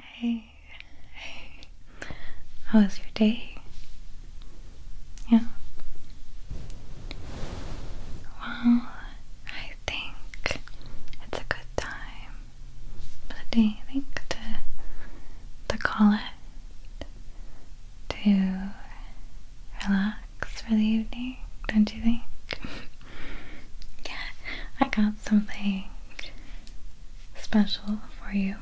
Hey, hey, how was your day? Yeah. Well, I think it's a good time today, I think, to, to call to relax for the evening, don't you think? Yeah, I got something special for you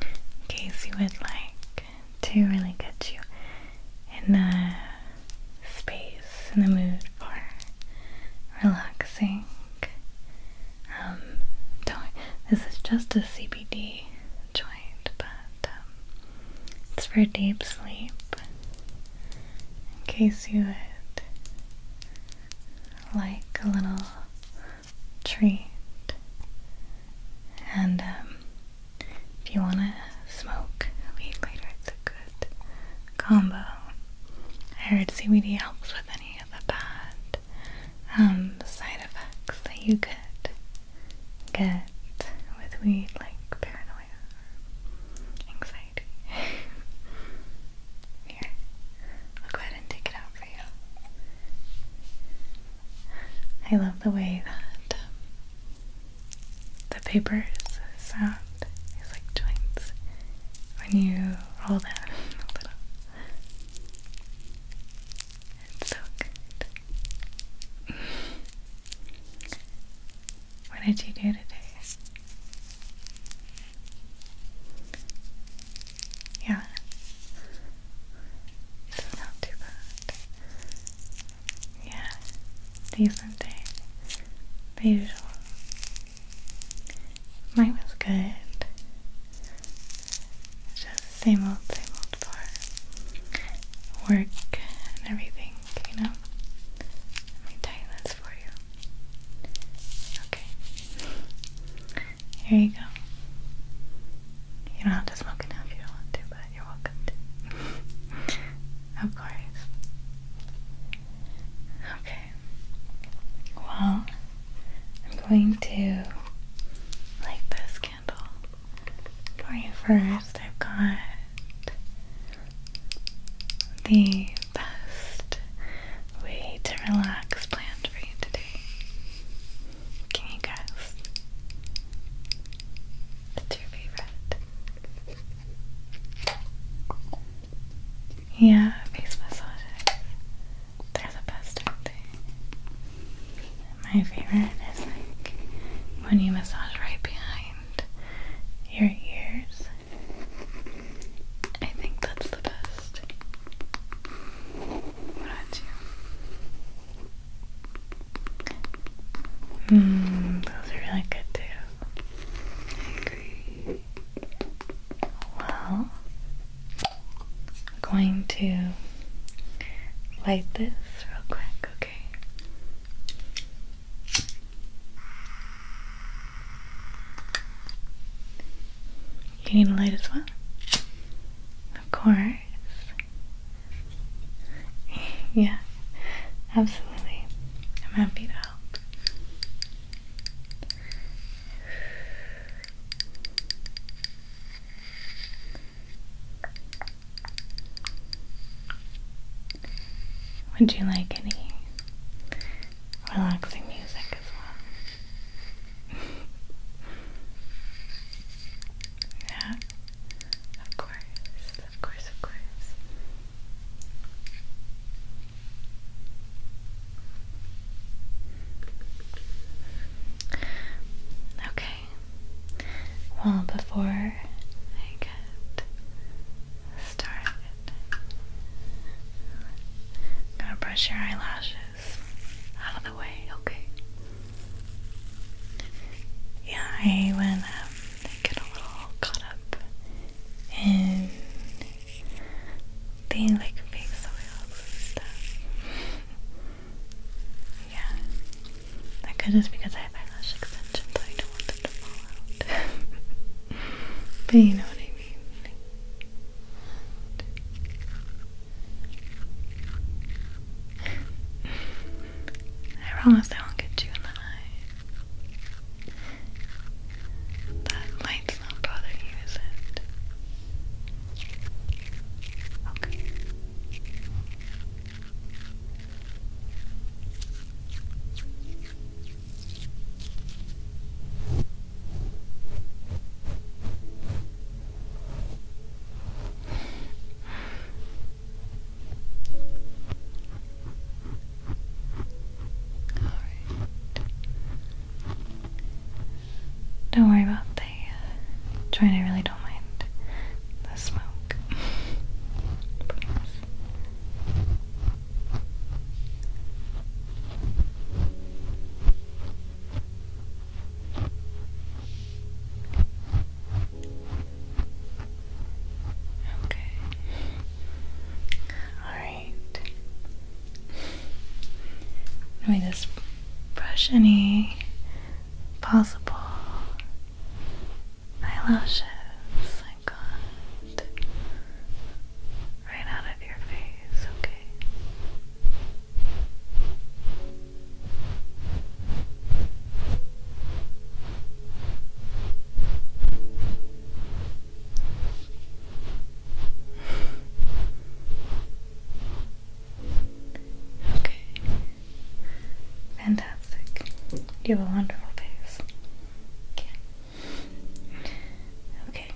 in case you would like to really get you in the space, in the mood for relaxing. Um, this is just a CBD joint, but um, it's for deep sleep. In case you would like a little treat. And um, if you want to smoke weed later, it's a good combo. I heard CBD helps with any of the bad um, side effects that you could get with weed, like paranoia anxiety. Here, I'll go ahead and take it out for you. I love the way that um, the papers sound is like joints when you roll them a little. It's so good. what did you do today? Yeah. It's not too bad. Yeah. Decent day. usual. Mine was good. Just same old, same old for work and everything, you know? Let me for you. Okay. Here you go. You don't have to smoke it if you don't want to, but you're welcome to. of course. Okay. Well, I'm going to light this candle for you first. I've got the best way to relax plan for you today. Can you guess? What's your favorite? Yeah, face massages. They're the best, are My favorite is like when you massage right behind your ears I think that's the best. Mmm, those really good too. I agree. Well, am going to light this real quick, okay? You need a light as well? Of course. yeah, absolutely. I'm happy to help. Would you like any relaxing music as well? yeah, of course, of course, of course. Okay. Well, before I get started, I'm to brush your eyelashes out of the way, okay? Yeah, I when um, get a little caught up in the like face oils and stuff. yeah, that could just because I have eyelash extensions don't but you know what I mean. I promise I won't get you in the eye. That light's not bothering you, is it? Okay. Don't worry about the uh, joint. I really don't mind the smoke. Okay. All right. Let me just brush any possible eyelashes Right out of your face, okay? okay. Fantastic. You have a wonderful face. Okay. Okay.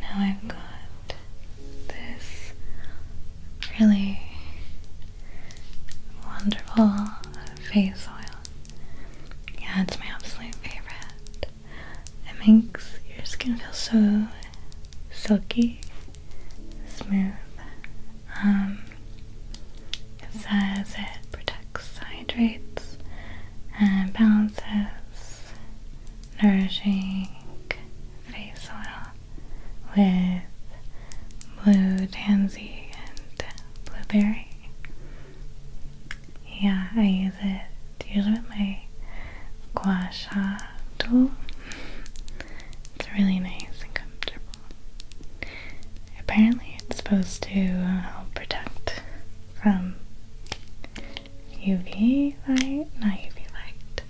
Now I've got this really wonderful face oil. Yeah, it's my absolute favorite. It makes your skin feel so silky, smooth. Um, it says it protects, hydrates, and balances nourishing face oil with blue tansy and blueberry. Yeah, I use it usually with my gua sha tool. It's really nice and comfortable. Apparently, it's supposed to uh, help protect from UV light, not UV light.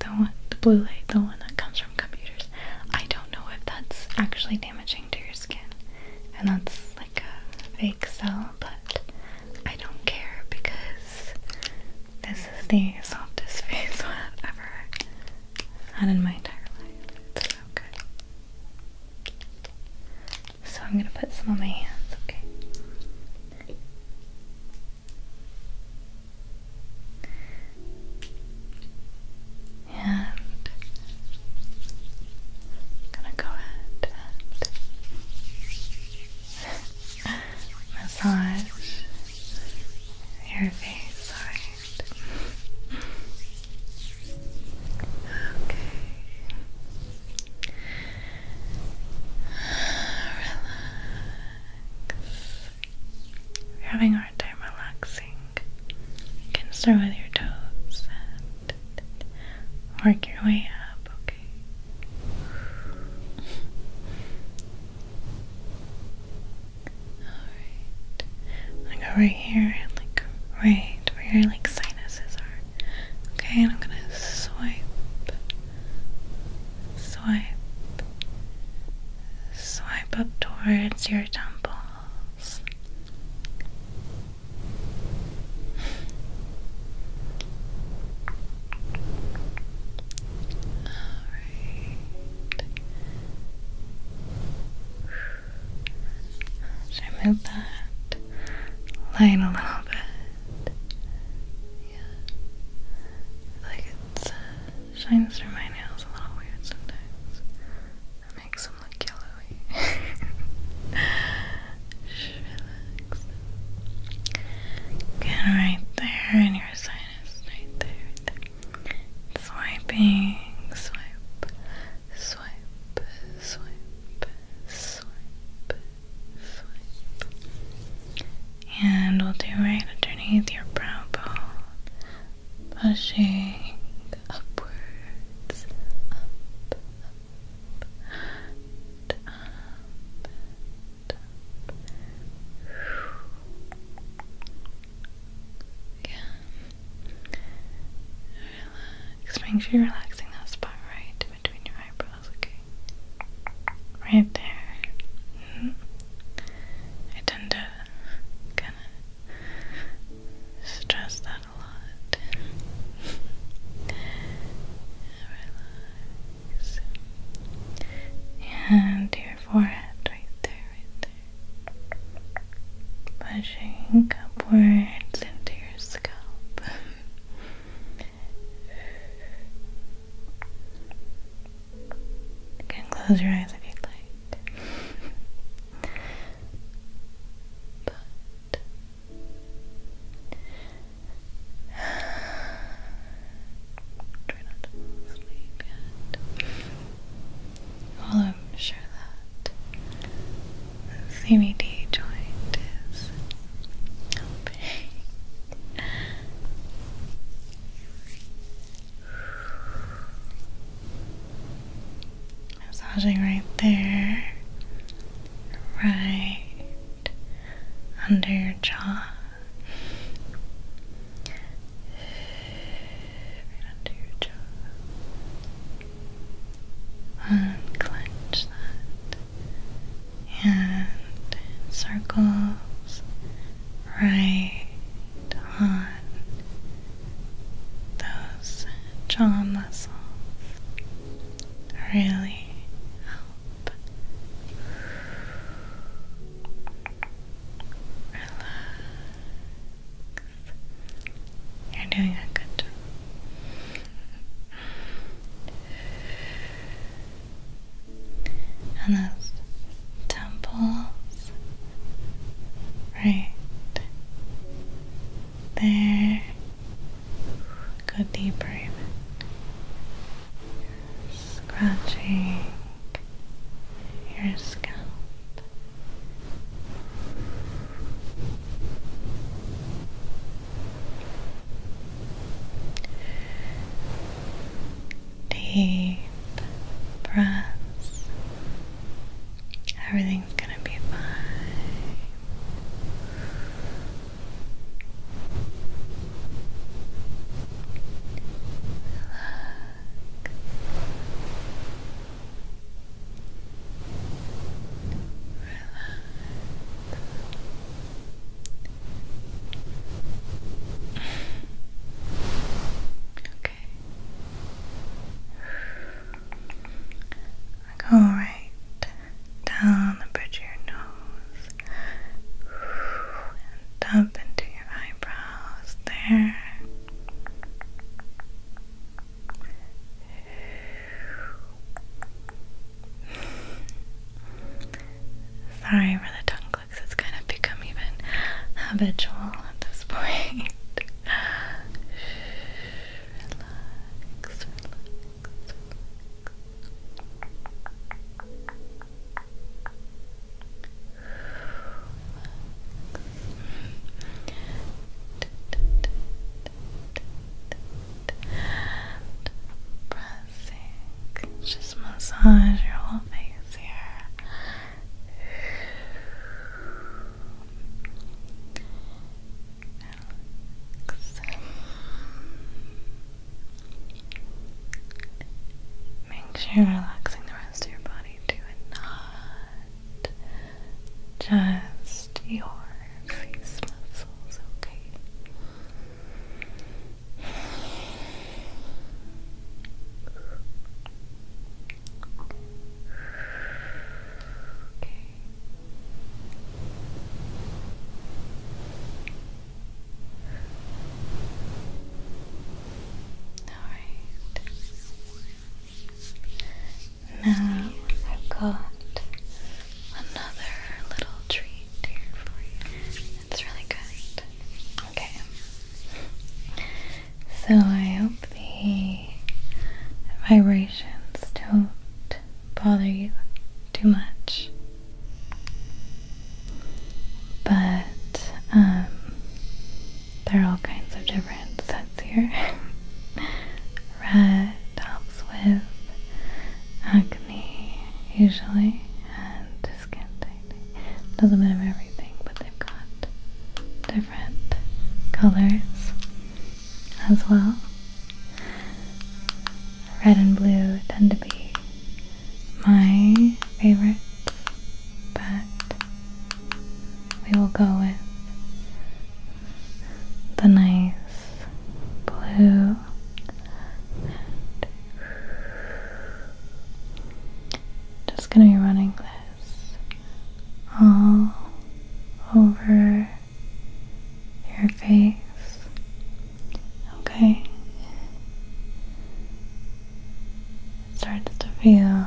The one, the blue light, the one that comes from computers. I don't know if that's actually damaging to your skin, and that's like a fake cell, but I don't care because this is the softest face I've ever had in my entire life. It's so good. So I'm going to put some on my hands, okay? And gonna go ahead and massage your face, sorry. Okay. Relax. You're having a hard time relaxing. You can start with your toes and work your way up, okay? i go right here like right where your like sinuses are. Okay, and I'm gonna swipe swipe swipe up towards your temples. All right. Should I move that. Line a little bit. Yeah. Like it shines through my nails a little weird sometimes. That makes them look yellowy. Just relax. Again, right there in your sinus. Right there, right there swiping, swipe, swipe, swipe, swipe, swipe. And we'll do right underneath your brow bone, pushing upwards, up, up, and up, up. Again, Relax. Make sure you're relaxing that spot right between your eyebrows, okay? Right there. Mm-hmm. I tend to kind of stress that a lot. And your forehead right there, right pushing upwards into your scalp. you can close your eyes if you'd like. Try not to fall yet. I'm sure that the CBD joint is helping. Massaging right there, right under your jaw under your jaw. Unclench that. And circles right on those jaw muscles really help relax you're doing a good job. And those temples, right there. Go deeper even. Scratching your scalp. Deep breath. Everything's going to be fine. Relax. Okay. Go down the bridge of your nose and up into eyebrows there. Sorry for the tongue clicks, it's kind of become even habitual at this point. relax, relax, relax. Pressing. Just massage your whole face here. Relax. Make sure you're relaxing the rest. Just your body to a knot. Just your face muscles, Okay. Alright. Now I've got another little treat here for you. It's really good. Okay. So I hope the vibrations don't bother you too much. But um there are all kinds of different sets here. Red helps with acne, usually, and skin tightening. A little bit everything, but they've got different colors as well. Red and blue tend to be my favorite, but we will go with the nice blue and just going to be running this all over your face. Okay starts to feel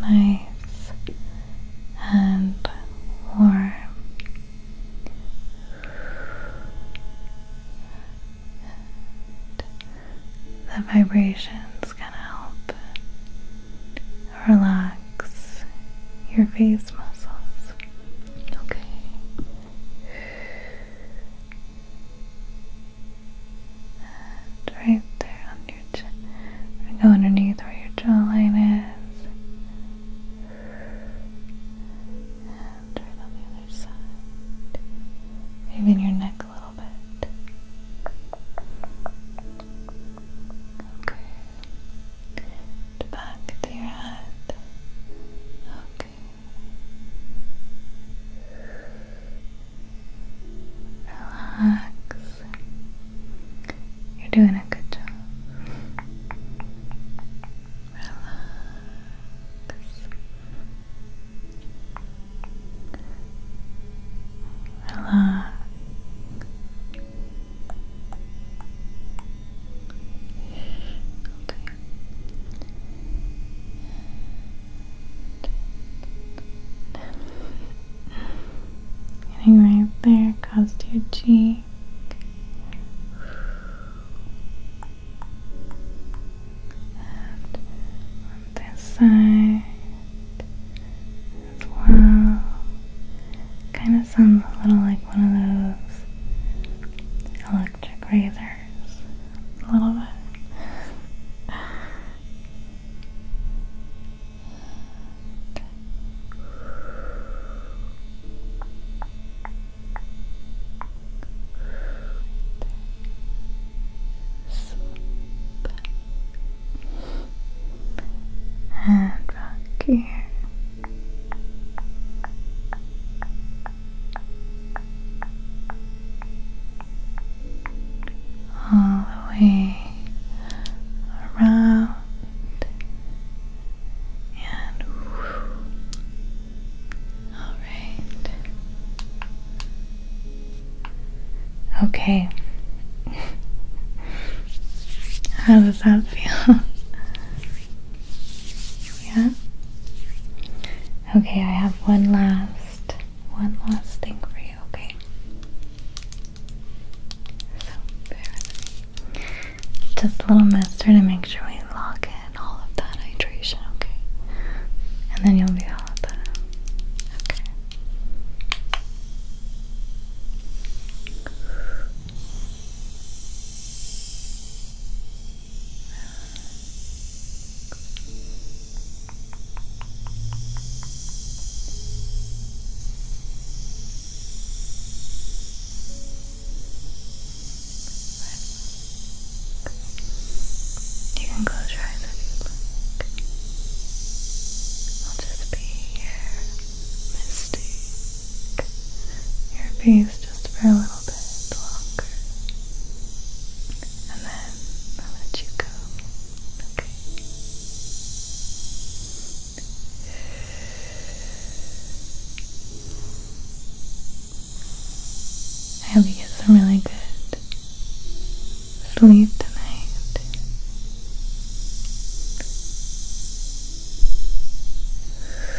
nice and warm. the vibrations gonna help relax your face muscles. Okay right there on your chin. Go underneath where your jawline is. And on the other side. Moving your neck a little bit. Okay. Back to your head. Okay. Relax. You're doing a good job. Relax. Relax. Okay. Getting right there across your cheek. And on this side as well. Kind of sounds a little like one of those dark grazers a little bit. And back here all the way around and all right okay how does that feel yeah Okay, I have one last one last thing for you, okay? Just a little mister to make sure we lock in all of that hydration, okay? And then you'll be all set. Okay. You can close your eyes if you'd like. I'll just be here, mystic. Your face just relax. And then i let you go. Okay. I hope you get some really good sleep tonight.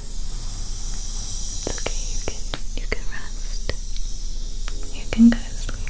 It's okay, you can you can rest. You can go sleep. Relax.